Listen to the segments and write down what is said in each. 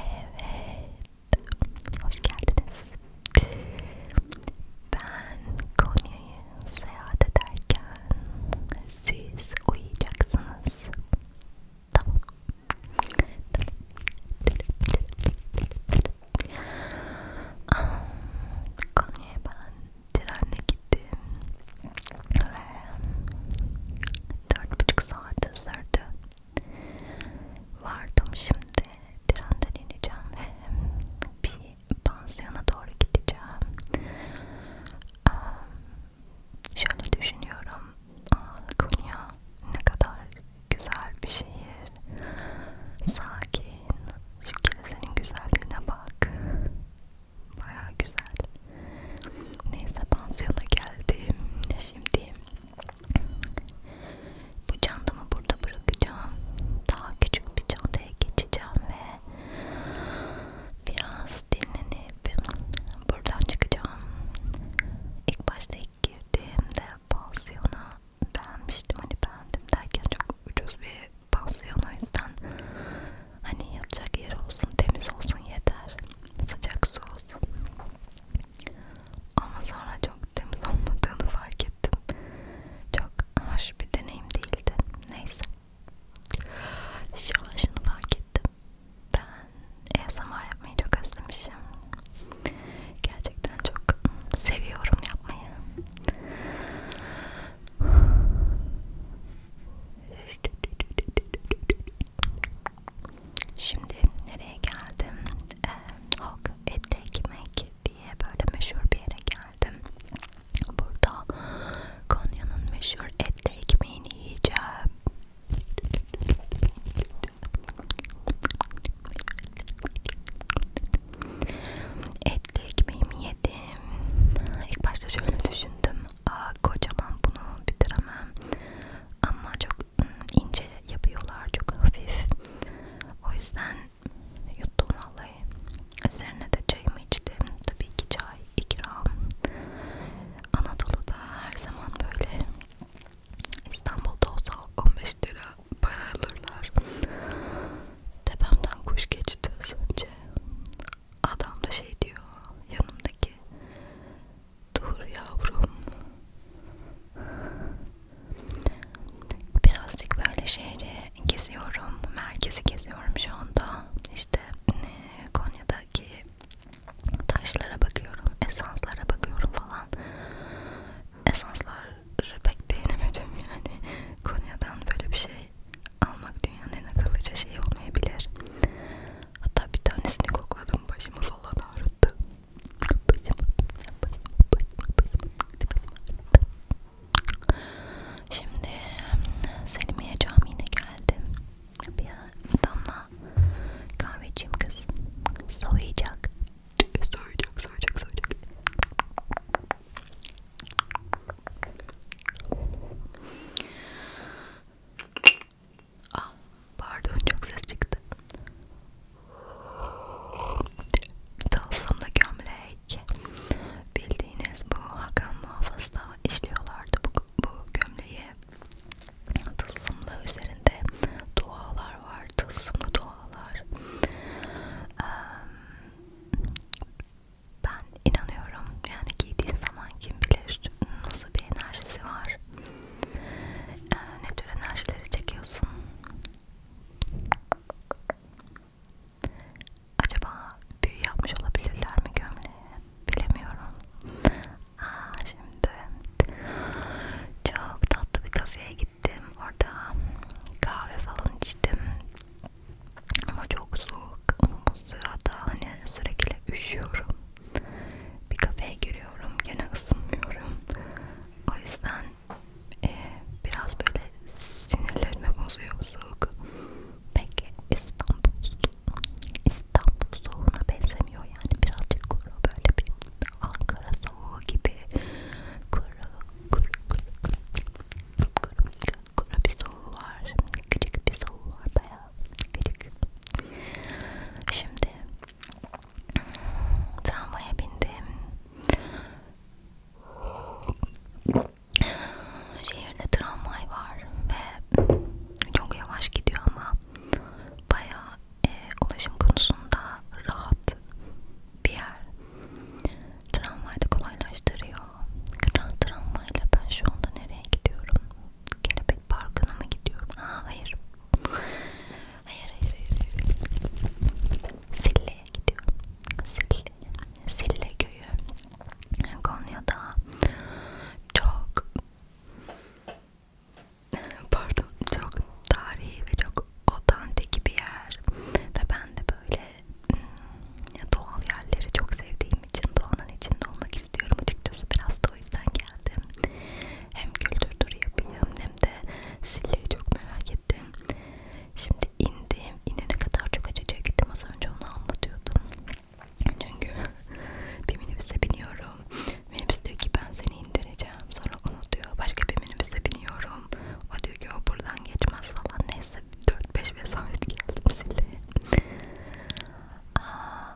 Evet, hoş geldiniz. Ben Konya'yı seyahat ederken siz uyuyacaksınız. Tamam. Konya'ya ben trenle gittim ve dört buçuk saat sürdü Vardım şimdi trenden ineceğim ve bir pansiyona doğru gideceğim. Ee, şöyle düşünüyorum, Aa, Konya ne kadar güzel bir şehir, sakin. Şu kilisenin güzelliğine bak, baya güzel. Neyse pansiyona geldim. Şimdi bu çantamı burada bırakacağım. Daha küçük bir çantaya geçeceğim ve biraz dinlenip buradan çıkacağım. İlk başta ilk girdiğimde pansiyona beğenmiştim. Hani beğendim derken çok ucuz bir pansiyon o yüzden hani yatacak yer olsun, temiz olsun yeter. Sıcak su olsun. Ama sonra çok temiz olmadığını fark ettim. Çok hoş bir deneyim değildi. Neyse. Şu an şunu fark ettim. Ben ASMR yapmayı çok özlemişim. Gerçekten çok seviyorum yapmayı. Şimdi nereye geldim? Ee, halk etli ekmek diye böyle meşhur bir yere geldim. Burada Konya'nın meşhur etli ekmeğini yiyeceğim. Etli ekmeğimi yedim. İlk başta şöyle düşündüm. Aa, kocaman bunu bitiremem. Ama çok çok ince yapıyorlar çok hafif o yüzden yuttum vallahi üzerine de çayımı içtim tabii ki çay ikram Anadolu'da her zaman böyle İstanbul'da olsa 15 lira para alırlar tepemden kuş geçti az önce adam da şey diyor yanımdaki Dur yavrum. Birazcık böyle şehri geziyorum. Merkezi geziyorum şu anda. İşte e, Konya'daki taşlara bakıyorum. Esanslara bakıyorum falan. Esansları pek beğenemedim yani. Konya'dan böyle bir şey almak dünyanın en akıllıca şeyi olmayabilir. Hatta bir tanesini kokladım başımı falan ağrıttı. Başım, başım, başım, başım. Şimdi Selimiye Camii'ne geldim. Bir damla kahveciğim kız soyacak. Soyacak, soyacak, soyacak. Ah, pardon çok ses çıktı. Tılsımlı gömlek. Bildiğiniz bu Hakan Muhafız'da işliyorlardı bu, bu gömleği. Tılsımlı üzerinde dualar var. Tılsımlı dualar. Ben inanıyorum yani giydiğin zaman kim bilir nasıl bir enerjisi var. Ee, ne tür enerjileri çekiyorsun? Acaba büyü yapmış olabilirler mi gömleğe? Bilemiyorum. Aa, şimdi çok tatlı bir kafeye gittim. Orada kahve falan içtim. Ama çok soğuk. Ama bu sırada hani sürekli üşüyorum. Bir kafeye giriyorum, gene ısınmıyorum. O yüzden e, biraz böyle sinirlerimi bozuyor soğuk. Peki İstanbul, İstanbul soğuğuna benzemiyor yani birazcık kuru böyle bir Ankara soğuğu gibi kuru, kuru, kuru, kuru, kuru, kuru, kuru bir soğuğu var, gıcık bir soğuğu var bayağı gıcık. Şimdi Tramvaya bindim. Şehirde tramvay var ve çok yavaş gidiyor ama bayağı e, ulaşım konusunda rahat bir yer. Tramvay da kolaylaştırıyor. Tramvayla ben şu anda nereye gidiyorum? Kelebek Parkı'na mı gidiyorum? Ha, hayır. Hayır hayır hayır. Sille'ye gidiyorum. Sille. Sille köyü. Konya'da çok pardon çok tarihi ve çok otantik bir yer ve ben de böyle hmm, doğal yerleri çok sevdiğim için doğanın içinde olmak istiyorum açıkçası biraz da o yüzden geldim. Hem kültür turu yapayım hem de Sille'yi çok merak ettim. Şimdi indim. İnene kadar çok acıcıya gittim. Az önce onu anlatıyordum. Çünkü bir minibüse biniyorum. Minibüs diyor ki ben seni indireceğim. Sonra onu diyor. Başka bir minibüse biniyorum. O diyor ki o buradan geçmez falan. Neyse 4-5 vesayet geldim Sille'ye. Aa,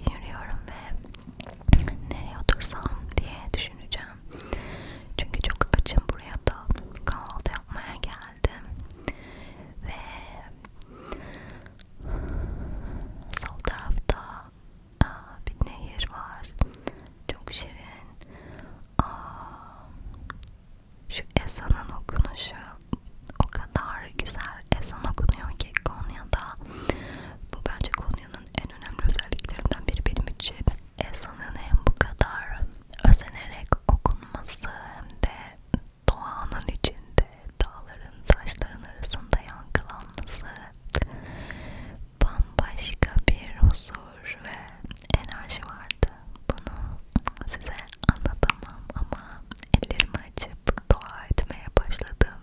yürüyorum ve nereye otursam diye düşüneceğim. Çünkü çok açım buraya da kahvaltı yapmaya geldim. Ve sol tarafta aa, bir nehir var. Çok şirin. Aa, şu ezanın okunuşu o kadar güzel ezan okunuyor ki Konya'da bu bence Konya'nın en önemli özelliklerinden biri benim için. Ezanın hem bu kadar özenerek okunması hem de doğanın içinde dağların taşların arasında yankılanması bambaşka bir huzur ve enerji vardı. Bunu size anlatamam ama ellerimi açıp dua etmeye başladım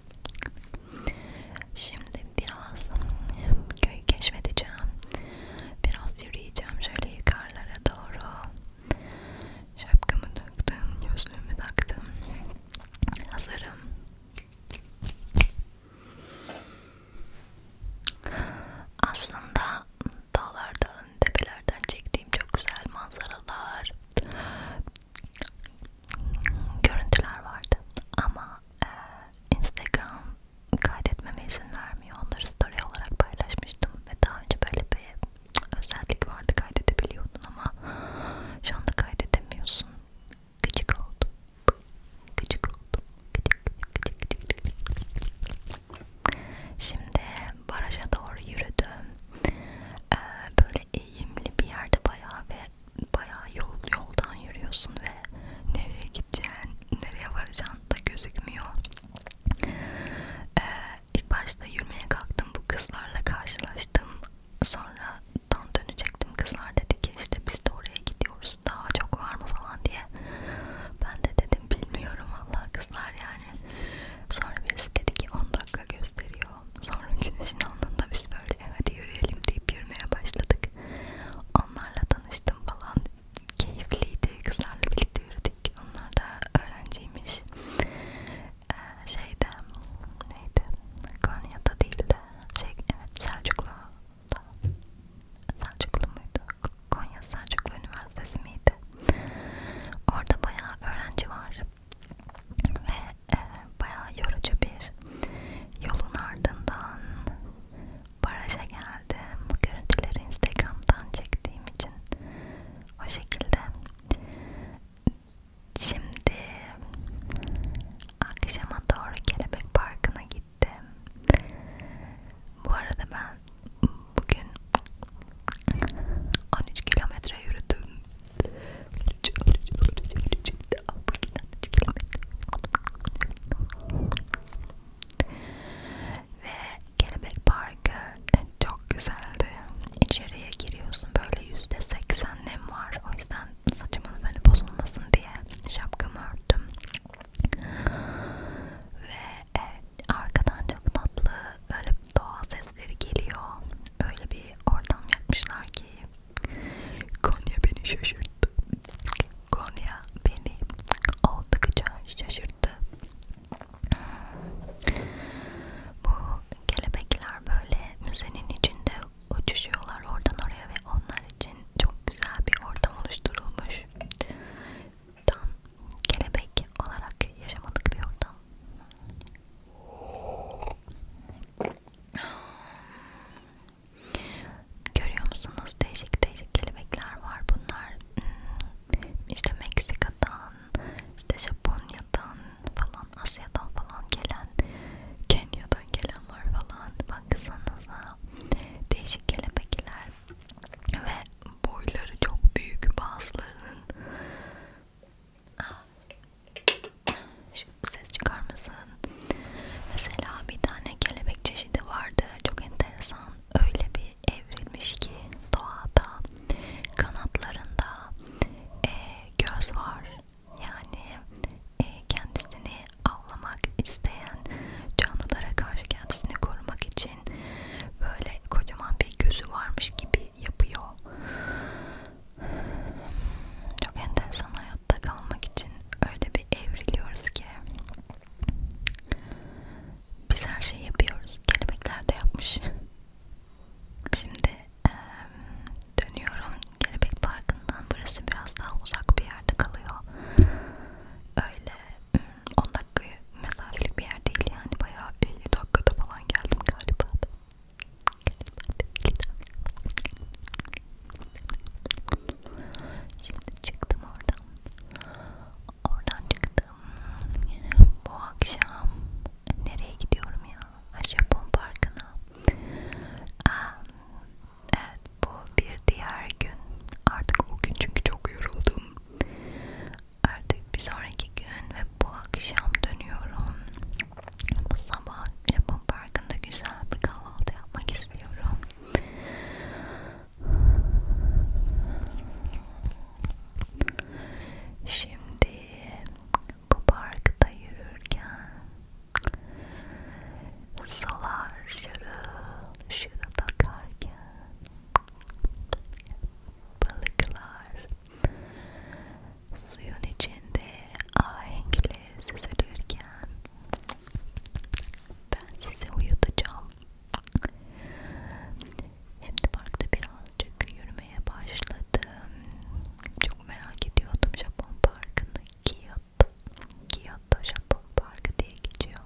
Şimdi biraz köyü keşfedeceğim. Biraz yürüyeceğim şöyle yukarılara doğru. Şapkamı taktım, gözlüğümü taktım. Hazırım. Aslında dağlardan, tepelerden çektiğim çok güzel manzaralar görüntüler vardı ama e, Instagram kaydetmeme izin vermiyor. Onları story olarak paylaşmıştım ve daha önce böyle bir özellik vardı kaydedebiliyordun ama şu anda kaydedemiyorsun. Gıcık oldum. Gıcık oldum. Gıcık, gıcık, gıcık, gıcık. Şimdi baraja doğru yürüdüm. Ee, böyle böyle eğimli bir yerde bayağı ve bayağı yol, yoldan yürüyorsun ve nereye gideceğin, nereye varacağın da gözükmüyor. Ee, ilk başta yürümeye kalktım, bu kızlarla karşılaştım. Sonra tam dönecektim, kızlar dedi ki işte biz de oraya gidiyoruz, daha çok var mı falan diye. Ben de dedim bilmiyorum valla kızlar yani. Sonra birisi dedi ki 10 dakika gösteriyor o. Sonra güneşin alnında biz böyle hadi yürüyelim deyip yürümeye başladık. Onlarla tanıştım falan. Keyifliydi. Kızlarla birlikte yürüdük. Onlar da öğrenciymiş. Ee, şeyde neydi? Konya'da değil de şey evet Selçuklu'da. Selçuklu muydu? Konya Selçuklu Üniversitesi miydi? Orada bayağı öğrenci var ve e, bayağı yorucu bir yolun ardından baraja geldim. Bu görüntüleri Instagram'dan çektiğim için o şekilde. Şimdi akşama doğru Kelebek Parkı'na gittim. Bu arada ben bugün 13 kilometre yürüdüm. Ve Kelebek Parkı çok güzeldi. İçeriye giriyorsun böyle yüzde seksen nem var. O yüzden saçımın beni bozulmasın diye şapkamı örttüm. Ve e, arkadan çok tatlı öyle doğa sesleri geliyor. Öyle bir ortam yapmışlar ki Konya beni şaşırttı. Konya beni oldukça şaşırttı. Bu kelebekler böyle müzenin içinde uçuşuyorlar oradan oraya ve onlar için çok güzel bir ortam oluşturulmuş. Tam kelebek olarak yaşamadık bir ortam. Görüyor musunuz? Değişik değişik kelebekler var bunlar. Hmm, işte Meksika'dan, işte Japonya'dan falan, Asya'dan falan gelen, Kenya'dan gelen var falan. Baksanıza. Değişik kelebekler ve boyları çok büyük bazılarının şu ses çıkar mısın? Mesela bir tane kelebek çeşidi vardı. Çok enteresan. Öyle bir evrilmiş ki doğada kanatlarında e, göz var. Yani e, kendisini avlamak isteyen canlılara karşı kendisini korumak için böyle kocaman bir gözü varmış gibi yapıyor çok enteresan hayatta kalmak için öyle bir evriliyoruz ki biz her şeyi yapıyoruz. Kelebekler de yapmış. Şimdi e, dönüyorum Kelebek Parkı'ndan. Burası biraz daha uzak bir yerde kalıyor. Öyle 10 dakika mesafelik bir yer değil yani. Bayağı 50 dakikada falan geldim galiba. Şimdi çıktım oradan. Oradan çıktım. Bu akşam nereye gidiyorum ya? Japon Parkı'na. Evet bu bir diğer gün. Artık o gün çünkü çok yoruldum. Artık bir sonraki gün ve bu akşam dönüyorum. Bu sabah Japon Parkı'nda güzel bir kahvaltı yapmak istiyorum. Şimdi bu parkta yürürken sular şırıl şırıl akarken balıklar Suyun içinde ahenkle süzülürken ben sizi uyutacağım. Şimdi parkta birazcık yürümeye başladım. Çok merak ediyordum Japon parkını. Kyoto, Kyoto Japon parkı diye geçiyor.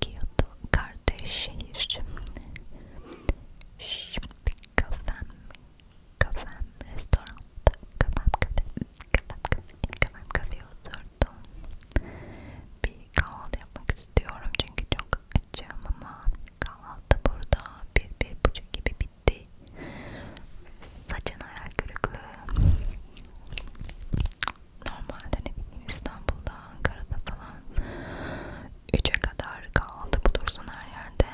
Kyoto kardeş şehir. Şimdi kafam Kafem restoranda, kafem kafe, kafem kafe, kafem kafeye oturdum. Bir kahvaltı yapmak istiyorum çünkü çok açım ama kahvaltı burada bir bir buçuk gibi bitti. Saçın hayal kırıklığı. Normalde ne bileyim İstanbul'da, Ankara'da falan 3'e kadar kahvaltı bulursun her yerde.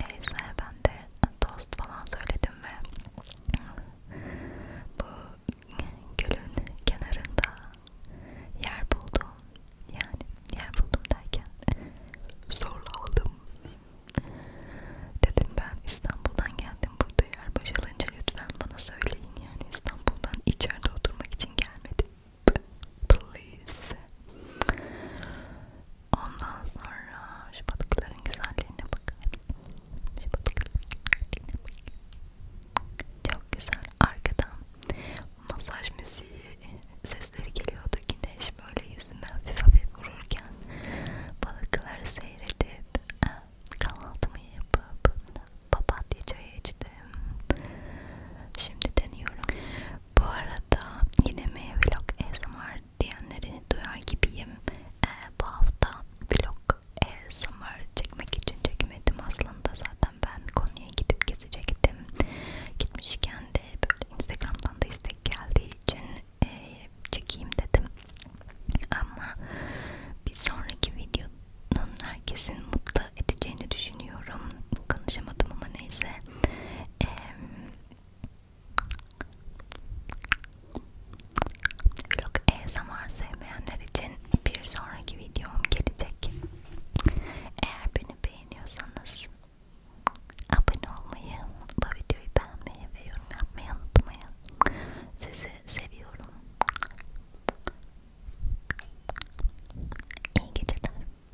Neyse ben de tost falan söyledim ve bu gölün kenarında yer buldum. Yani yer buldum derken zorla aldım. Dedim ben İstanbul'dan geldim burada yer boşalınca lütfen bana söyleyin yani İstanbul'dan içeride oturmak için gelmedim please. Ondan sonra şu balıkların güzelliğine bakar Şu balıkların güzelliğine bakın. Çok güzel. Arkadan masaj müziği sesleri geliyordu. Güneş böyle yüzüme hafif hafif vururken balıkları seyredip kahvaltımı yapıp papatya çayı içtim. Şimdi deniyorum. Bu arada yine mi vlog ASMR diyenleri duyar gibiyim. Ee, bu hafta vlog ASMR çekmek için çekemedim aslında zaten ben konuya gidip gezecektim. Gitmişken de böyle Instagram'dan da istek geldiği için e, çekeyim dedim. Ama bir sonraki videonun herkesin mutlu edeceğini düşünüyorum. Konuşamadım ama neyse e, vlog ASMR sevmeyenler için bir sonraki videom gelecek. Eğer beni beğeniyorsanız abone olmayı, bu videoyu beğenmeyi ve yorum yapmayı unutmayın. Sizi seviyorum. İyi geceler.